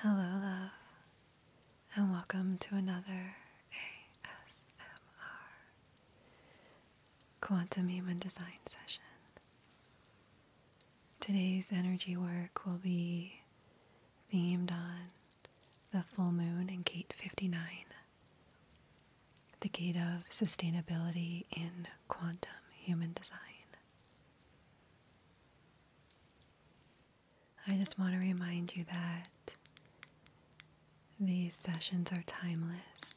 Hello, and welcome to another ASMR Quantum Human Design session. Today's energy work will be themed on the full moon and gate 59, the gate of sustainability in quantum human design. I just want to remind you that these sessions are timeless.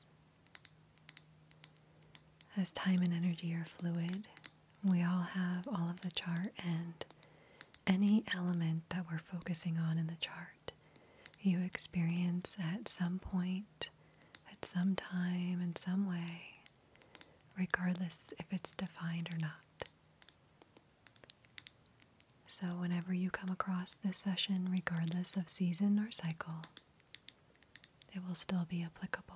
As time and energy are fluid, we all have all of the chart, and any element that we're focusing on in the chart, you experience at some point, at some time, in some way, regardless if it's defined or not. So, whenever you come across this session, regardless of season or cycle, it will still be applicable.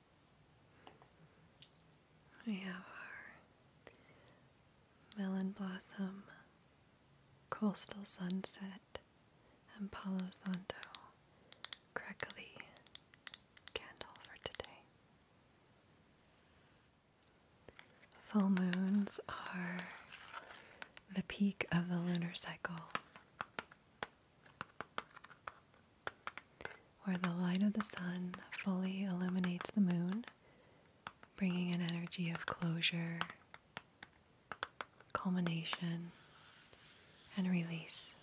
We have our melon blossom, coastal sunset, and Palo Santo crackly candle for today. Full moons are the peak of the lunar cycle where the light of the sun fully illuminates the moon, bringing an energy of closure, culmination, and release.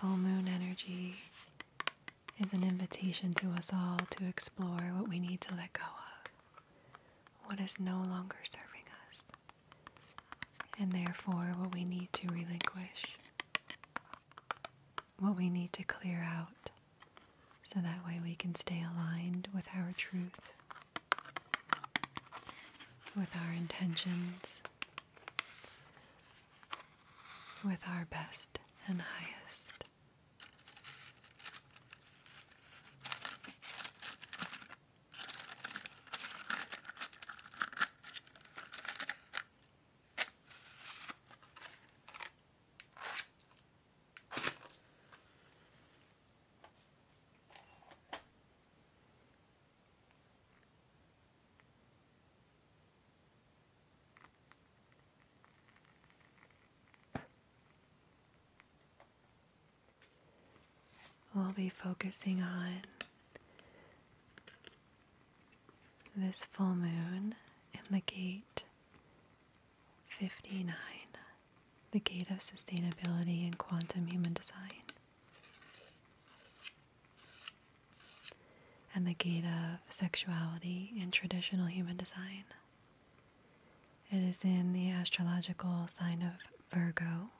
Full moon energy is an invitation to us all to explore what we need to let go of, what is no longer serving us, and therefore what we need to relinquish, what we need to clear out, so that way we can stay aligned with our truth, with our intentions with our best and highest. We'll be focusing on this full moon in the gate 59, the gate of sustainability in quantum human design and the gate of sexuality in traditional human design. It is in the astrological sign of Virgo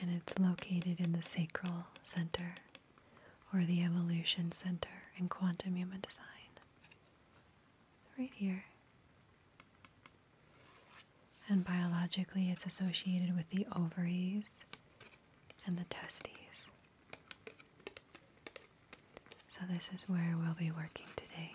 and it's located in the sacral center or the evolution center in quantum human design. Right here. And biologically, it's associated with the ovaries and the testes. So, this is where we'll be working today.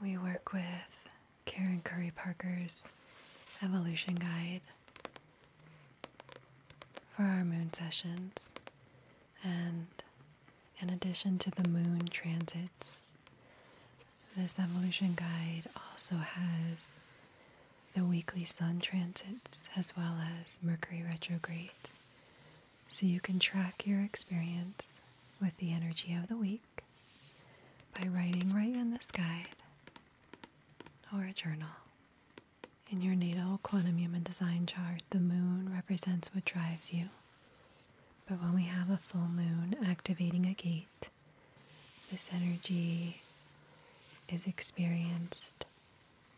We work with Karen Curry Parker's evolution guide for our moon sessions. And in addition to the moon transits, this evolution guide also has the weekly sun transits as well as Mercury retrogrades. So you can track your experience with the energy of the week by writing right in this guide or a journal. In your natal quantum human design chart, the moon represents what drives you. But when we have a full moon activating a gate, this energy is experienced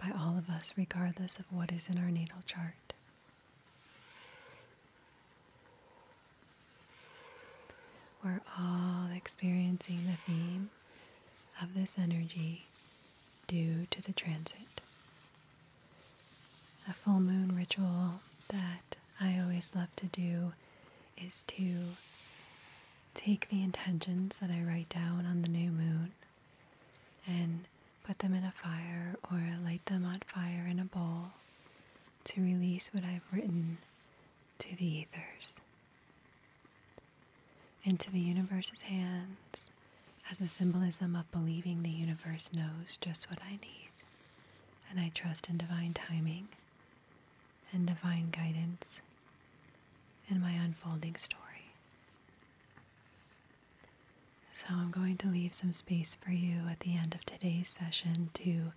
by all of us, regardless of what is in our natal chart. We're all experiencing the theme of this energy due to the transit. A full moon ritual that I always love to do is to take the intentions that I write down on the new moon and put them in a fire or light them on fire in a bowl to release what I've written to the ethers into the universe's hands as a symbolism of believing the universe knows just what I need. And I trust in divine timing and divine guidance in my unfolding story. So I'm going to leave some space for you at the end of today's session to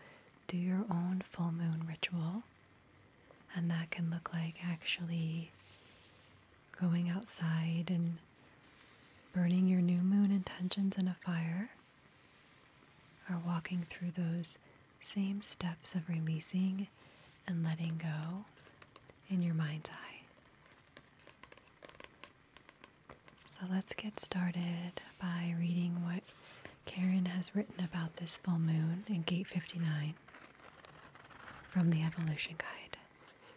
do your own full moon ritual. And that can look like actually going outside and burning your new moon intentions in a fire, or walking through those same steps of releasing and letting go in your mind's eye. So let's get started by reading what Karen has written about this full moon in Gate 59 from the Evolution Guide.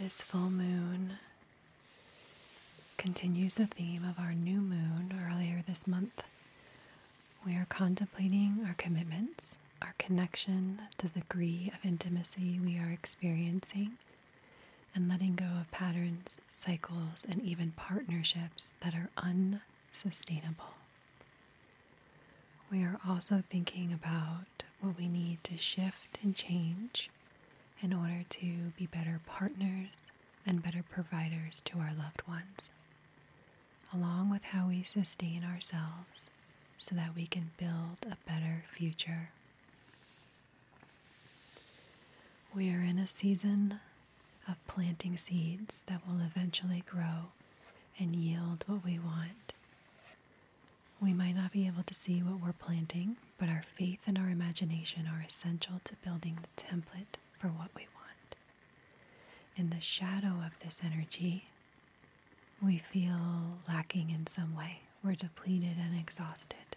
This full moon continues the theme of our new moon earlier this month, we are contemplating our commitments, our connection, the degree of intimacy we are experiencing, and letting go of patterns, cycles, and even partnerships that are unsustainable. We are also thinking about what we need to shift and change in order to be better partners and better providers to our loved ones along with how we sustain ourselves so that we can build a better future. We are in a season of planting seeds that will eventually grow and yield what we want. We might not be able to see what we're planting, but our faith and our imagination are essential to building the template for what we want. In the shadow of this energy we feel lacking in some way. We're depleted and exhausted.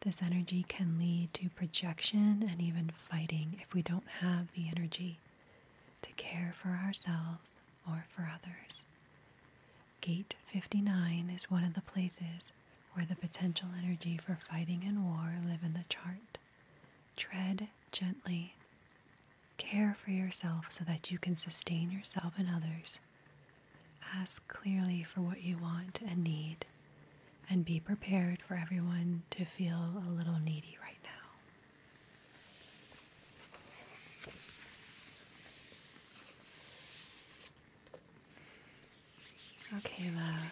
This energy can lead to projection and even fighting if we don't have the energy to care for ourselves or for others. Gate 59 is one of the places where the potential energy for fighting and war live in the chart. Tread gently Care for yourself so that you can sustain yourself and others. Ask clearly for what you want and need, and be prepared for everyone to feel a little needy right now. Okay, love.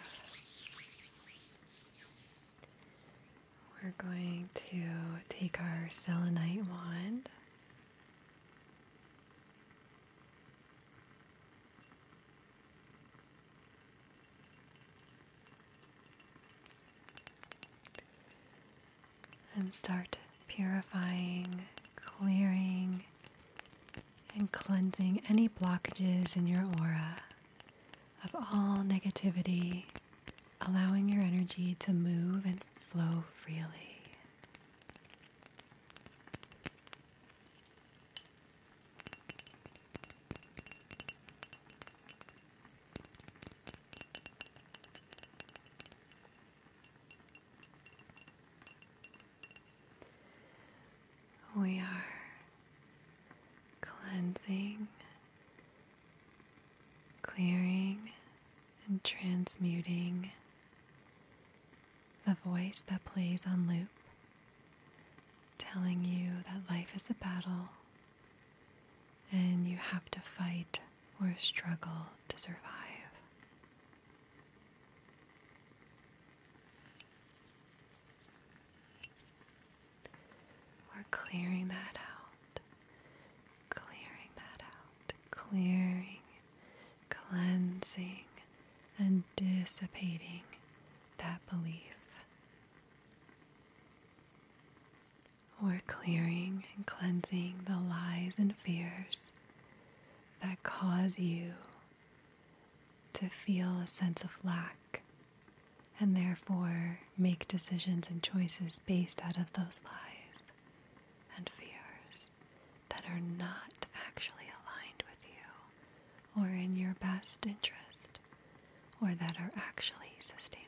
We're going to take our selenite wand. and start purifying, clearing, and cleansing any blockages in your aura of all negativity, allowing your energy to move and flow freely. We are cleansing clearing and transmuting the voice that plays on loop, telling you that life is a battle and you have to fight or struggle to survive. We're clearing that out clearing that out, clearing, cleansing, and dissipating that belief. We're clearing and cleansing the lies and fears that cause you to feel a sense of lack and therefore make decisions and choices based out of those lies and fears that are not actually aligned with you or in your best interest or that are actually sustainable.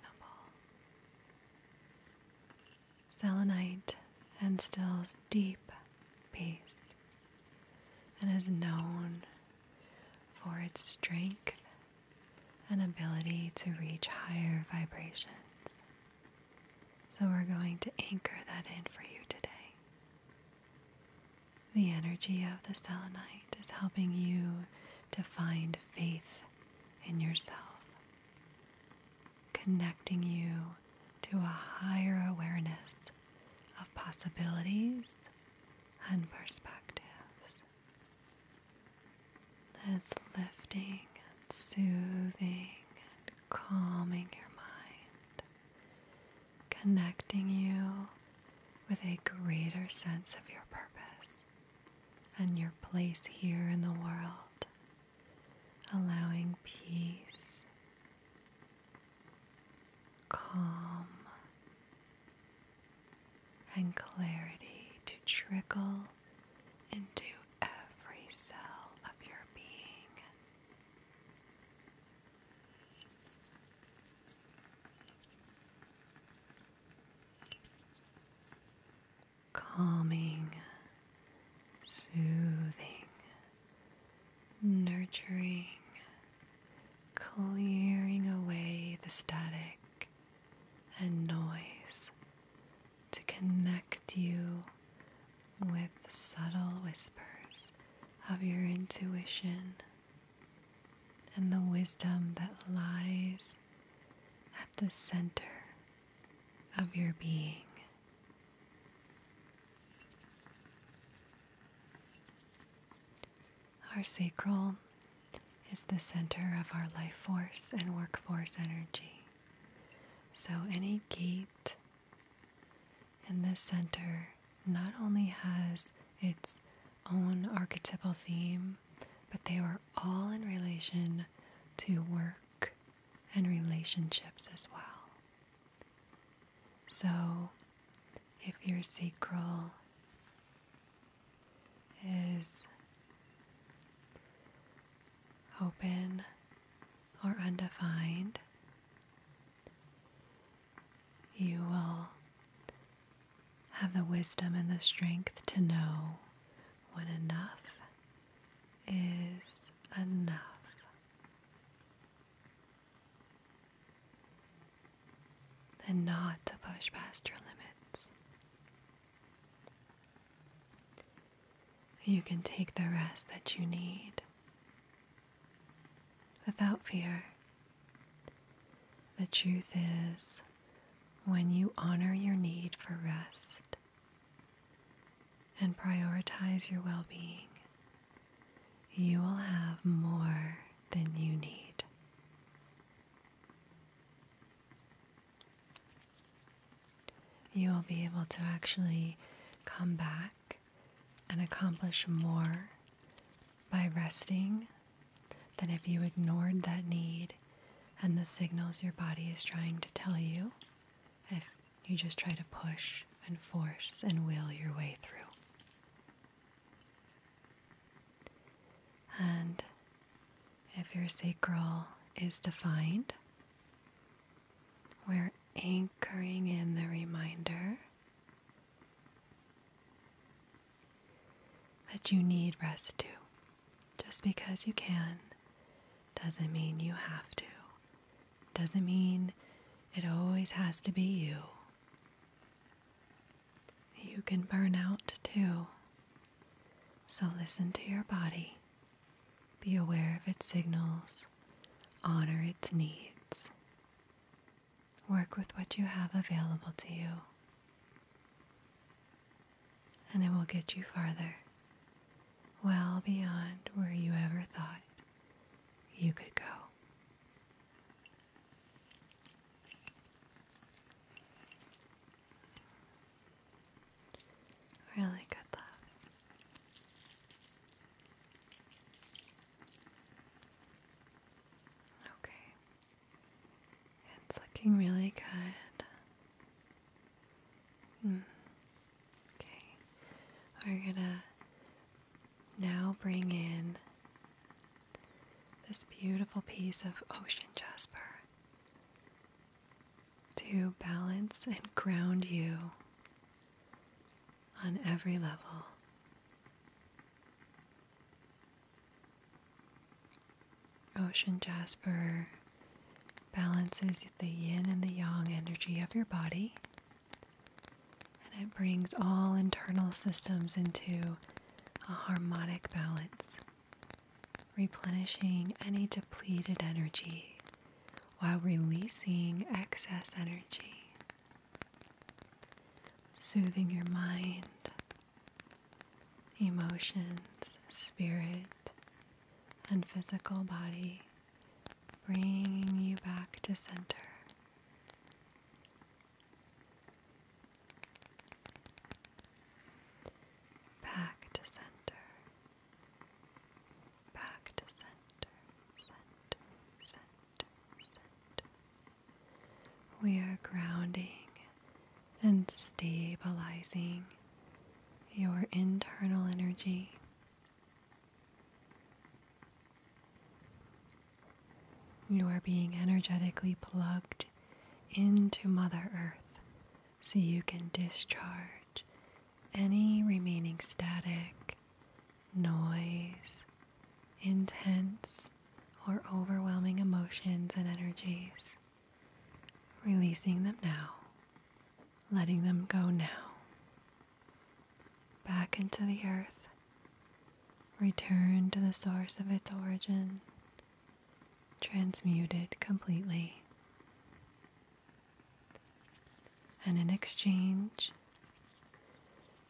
Selenite instills deep peace and is known for its strength an ability to reach higher vibrations. So we're going to anchor that in for you today. The energy of the selenite is helping you to find faith in yourself, connecting you to a higher awareness of possibilities and perspectives that's lifting and soothing and calming your mind, connecting you with a greater sense of your purpose and your place here in the world, allowing peace, calm, and clarity to trickle into every cell of your being. Calming, soothing, nurturing, clearing away the static and noise to connect you with subtle whispers of your intuition and the wisdom that lies at the center of your being. Our sacral is the center of our life force and workforce energy. So, any gate in this center not only has its own archetypal theme, but they are all in relation to work and relationships as well. So, if your sacral is open or undefined, you will have the wisdom and the strength to know when enough is enough. And not to push past your limits. You can take the rest that you need without fear. The truth is, when you honor your need for rest and prioritize your well being, you will have more than you need. You will be able to actually come back and accomplish more by resting than if you ignored that need and the signals your body is trying to tell you if you just try to push and force and will your way through. And if your sacral is defined, we're anchoring in the reminder that you need rest too. Just because you can doesn't mean you have to, doesn't mean it always has to be you. You can burn out too. So listen to your body, be aware of its signals, honor its needs. Work with what you have available to you, and it will get you farther, well beyond where you ever thought you could go. Really good love. Okay. It's looking really good. Hmm. Okay. We're gonna now bring in this beautiful piece of ocean jasper to balance and ground you on every level. Ocean Jasper balances the yin and the yang energy of your body, and it brings all internal systems into a harmonic balance replenishing any depleted energy while releasing excess energy, soothing your mind, emotions, spirit, and physical body, bringing you back to center. Back to center. Back to center, center, center, center. We are grounding and stabilizing your internal energy. You are being energetically plugged into Mother Earth so you can discharge any remaining static, noise, intense, or overwhelming emotions and energies. Releasing them now, letting them go now. Back into the earth, return to the source of its origin, transmuted completely. And in exchange,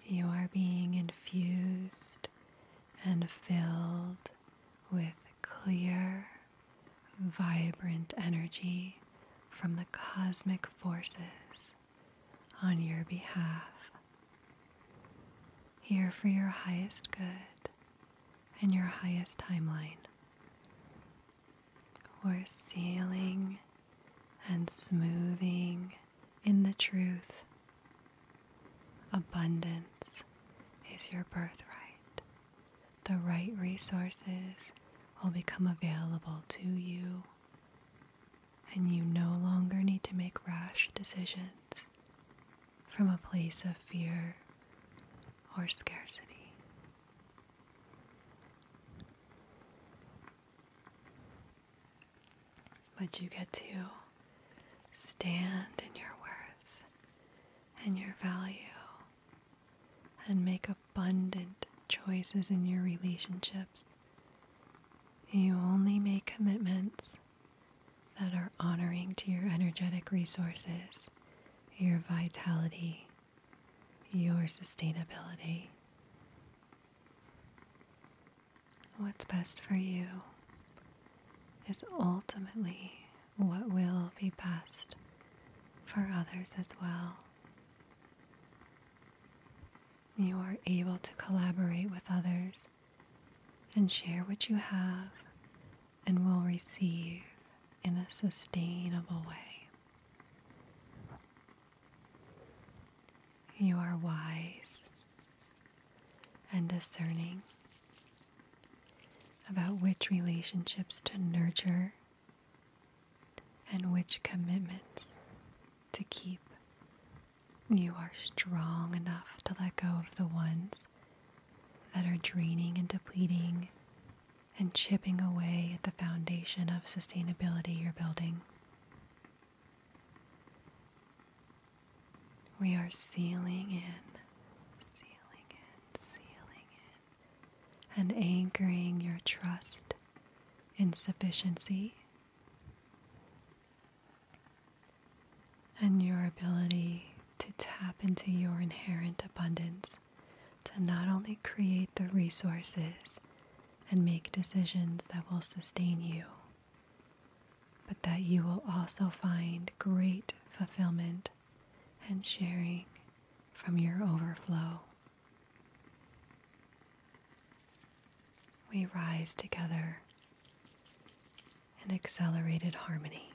you are being infused and filled with clear, vibrant energy from the cosmic forces on your behalf. Here for your highest good in your highest timeline. We're sealing and smoothing in the truth. Abundance is your birthright. The right resources will become available to you, and you no longer need to make rash decisions from a place of fear or scarcity. But you get to stand in your worth and your value and make abundant choices in your relationships. You only make commitments that are honoring to your energetic resources your vitality, your sustainability. What's best for you is ultimately what will be best for others as well. You are able to collaborate with others and share what you have and will receive in a sustainable way. You are wise and discerning about which relationships to nurture and which commitments to keep. You are strong enough to let go of the ones that are draining and depleting and chipping away at the foundation of sustainability you're building. We are sealing in, sealing in, sealing in, and anchoring your trust in sufficiency and your ability to tap into your inherent abundance to not only create the resources and make decisions that will sustain you, but that you will also find great fulfillment and sharing from your overflow. We rise together in accelerated harmony.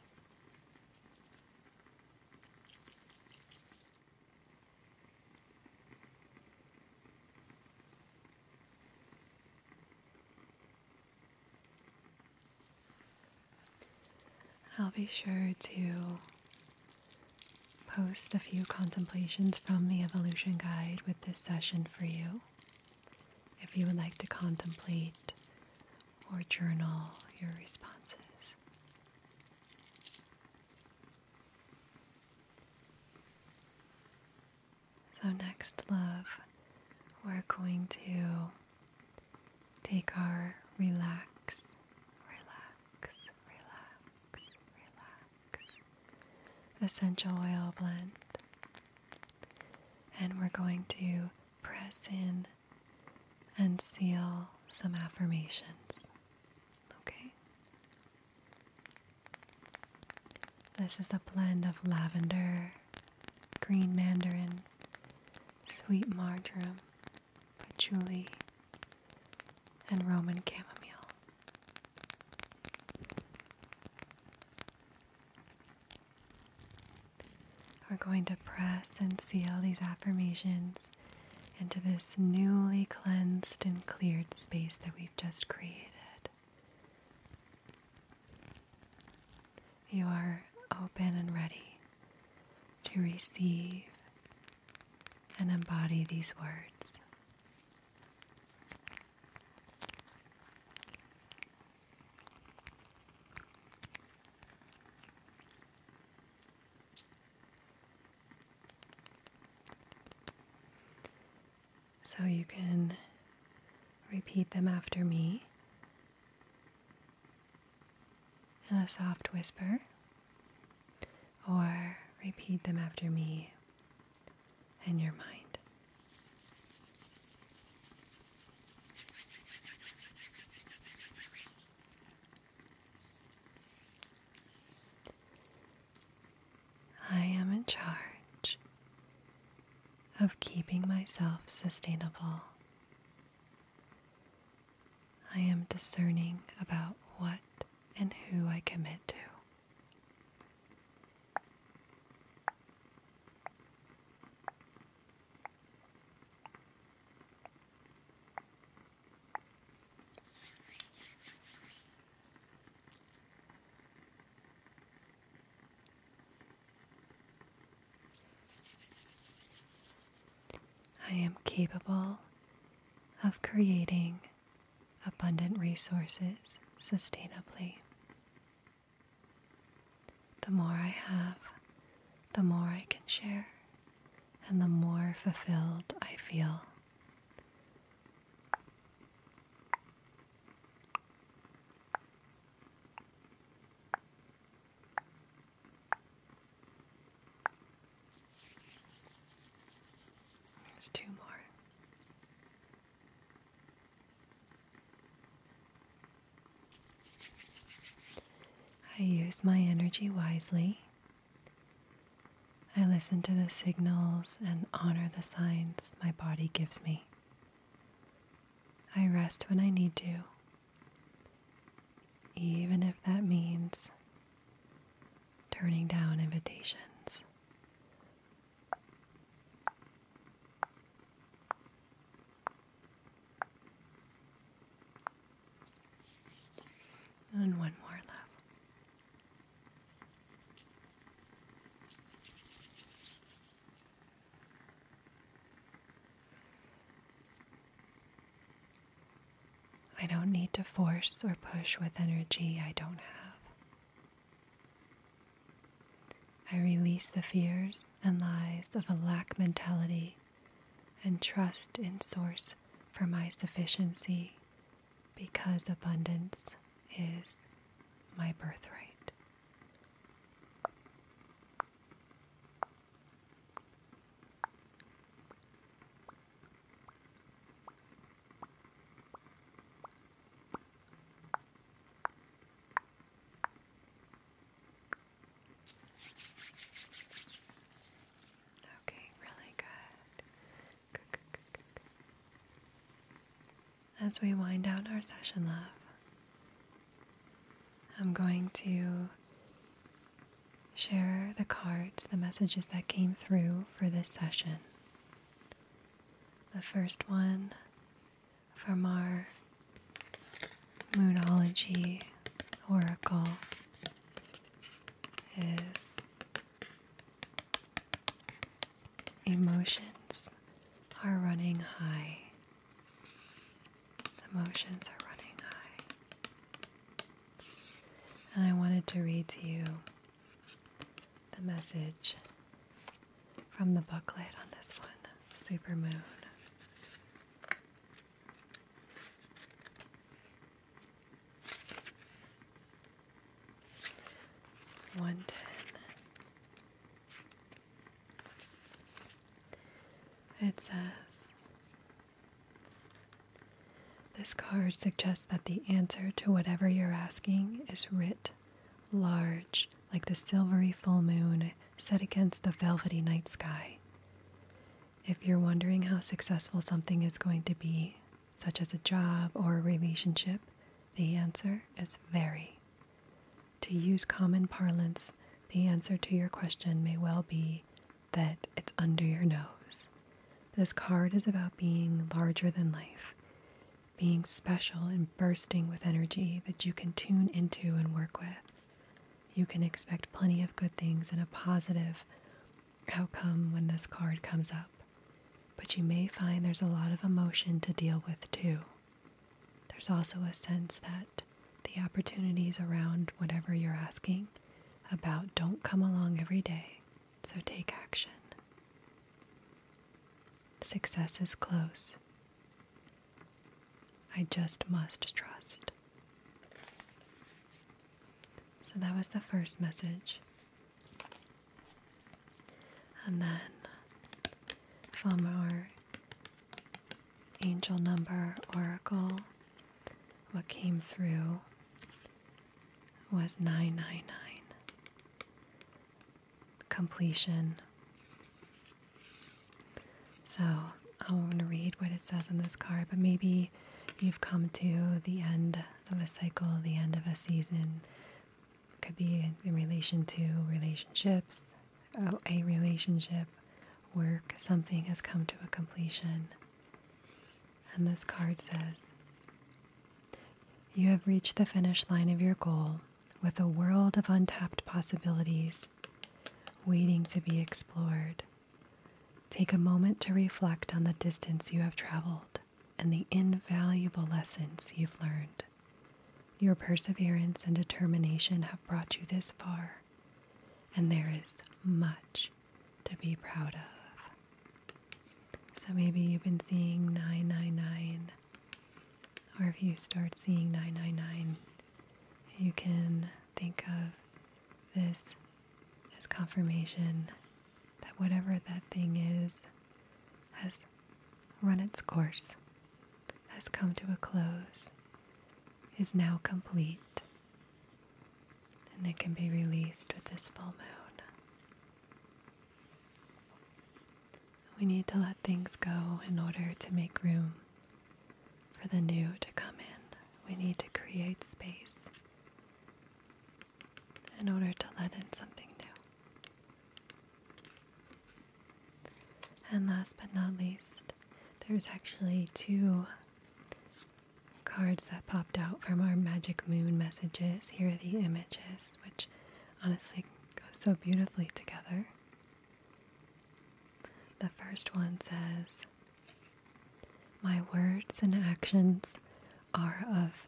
I'll be sure to post a few contemplations from the Evolution Guide with this session for you. If you would like to contemplate or journal your responses. So, next, love, we're going to take our relax, relax, relax, relax essential oil blend, and we're going to press in and seal some affirmations. Okay? This is a blend of lavender, green mandarin, sweet marjoram, patchouli, and Roman chamomile. We're going to press and seal these affirmations into this newly cleansed and cleared space that we've just created. You are open and ready to receive and embody these words. So you can repeat them after me in a soft whisper, or repeat them after me in your mind. I am in charge of keeping myself sustainable. I am discerning about what and who I commit to. I am capable of creating abundant resources sustainably. The more I have, the more I can share, and the more fulfilled I feel. There's two more. I use my energy wisely. I listen to the signals and honor the signs my body gives me. I rest when I need to, even if that means turning down invitations. And one more left. I don't need to force or push with energy I don't have. I release the fears and lies of a lack mentality and trust in Source for my sufficiency because abundance is my birthright. Okay, really good. As we wind out our session, love, I'm going to share the cards, the messages that came through for this session. The first one from our Moonology Oracle his emotions are running high. The emotions are running high. And I wanted to read to you the message from the booklet on this one super moon. One ten. It says This card suggests that the answer to whatever you're asking is writ large, like the silvery full moon set against the velvety night sky. If you're wondering how successful something is going to be, such as a job or a relationship, the answer is very. To use common parlance, the answer to your question may well be that it's under your nose. This card is about being larger than life, being special and bursting with energy that you can tune into and work with you can expect plenty of good things and a positive outcome when this card comes up. But you may find there's a lot of emotion to deal with too. There's also a sense that the opportunities around whatever you're asking about don't come along every day, so take action. Success is close. I just must trust. So that was the first message. And then from our angel number oracle, what came through was 999 completion. So I want to read what it says on this card, but maybe you've come to the end of a cycle, the end of a season. It could be in relation to relationships, oh, a relationship, work, something has come to a completion. And this card says, You have reached the finish line of your goal with a world of untapped possibilities waiting to be explored. Take a moment to reflect on the distance you have traveled and the invaluable lessons you've learned. Your perseverance and determination have brought you this far, and there is much to be proud of. So maybe you've been seeing 999, or if you start seeing 999, you can think of this as confirmation that whatever that thing is has run its course, has come to a close, is now complete, and it can be released with this full moon. We need to let things go in order to make room for the new to come in, we need to create space in order to let in something new. And last but not least, there's actually two cards that popped out from our Magic Moon messages. Here are the images, which honestly go so beautifully together. The first one says, my words and actions are of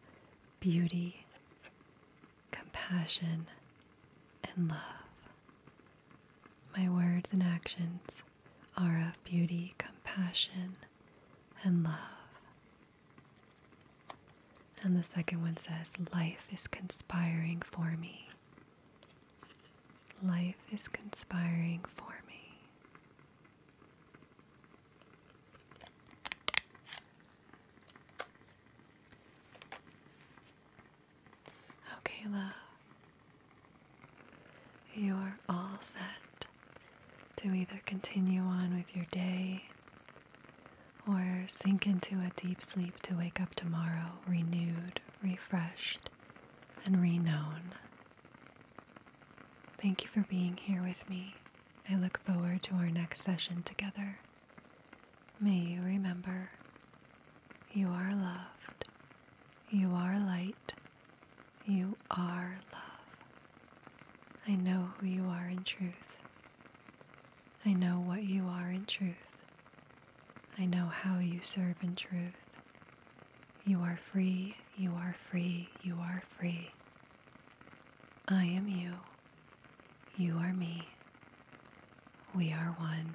beauty, compassion, and love. My words and actions are of beauty, compassion, and love. And the second one says, Life is conspiring for me. Life is conspiring for me. Okay, love. You're all set to either continue on with your day or sink into a deep sleep to wake up tomorrow renewed, refreshed, and reknown. Thank you for being here with me. I look forward to our next session together. May you remember you are loved, you are light, you are love. I know who you are in truth. I know what you are in truth. I know how you serve in truth. You are free, you are free, you are free. I am you. You are me. We are one.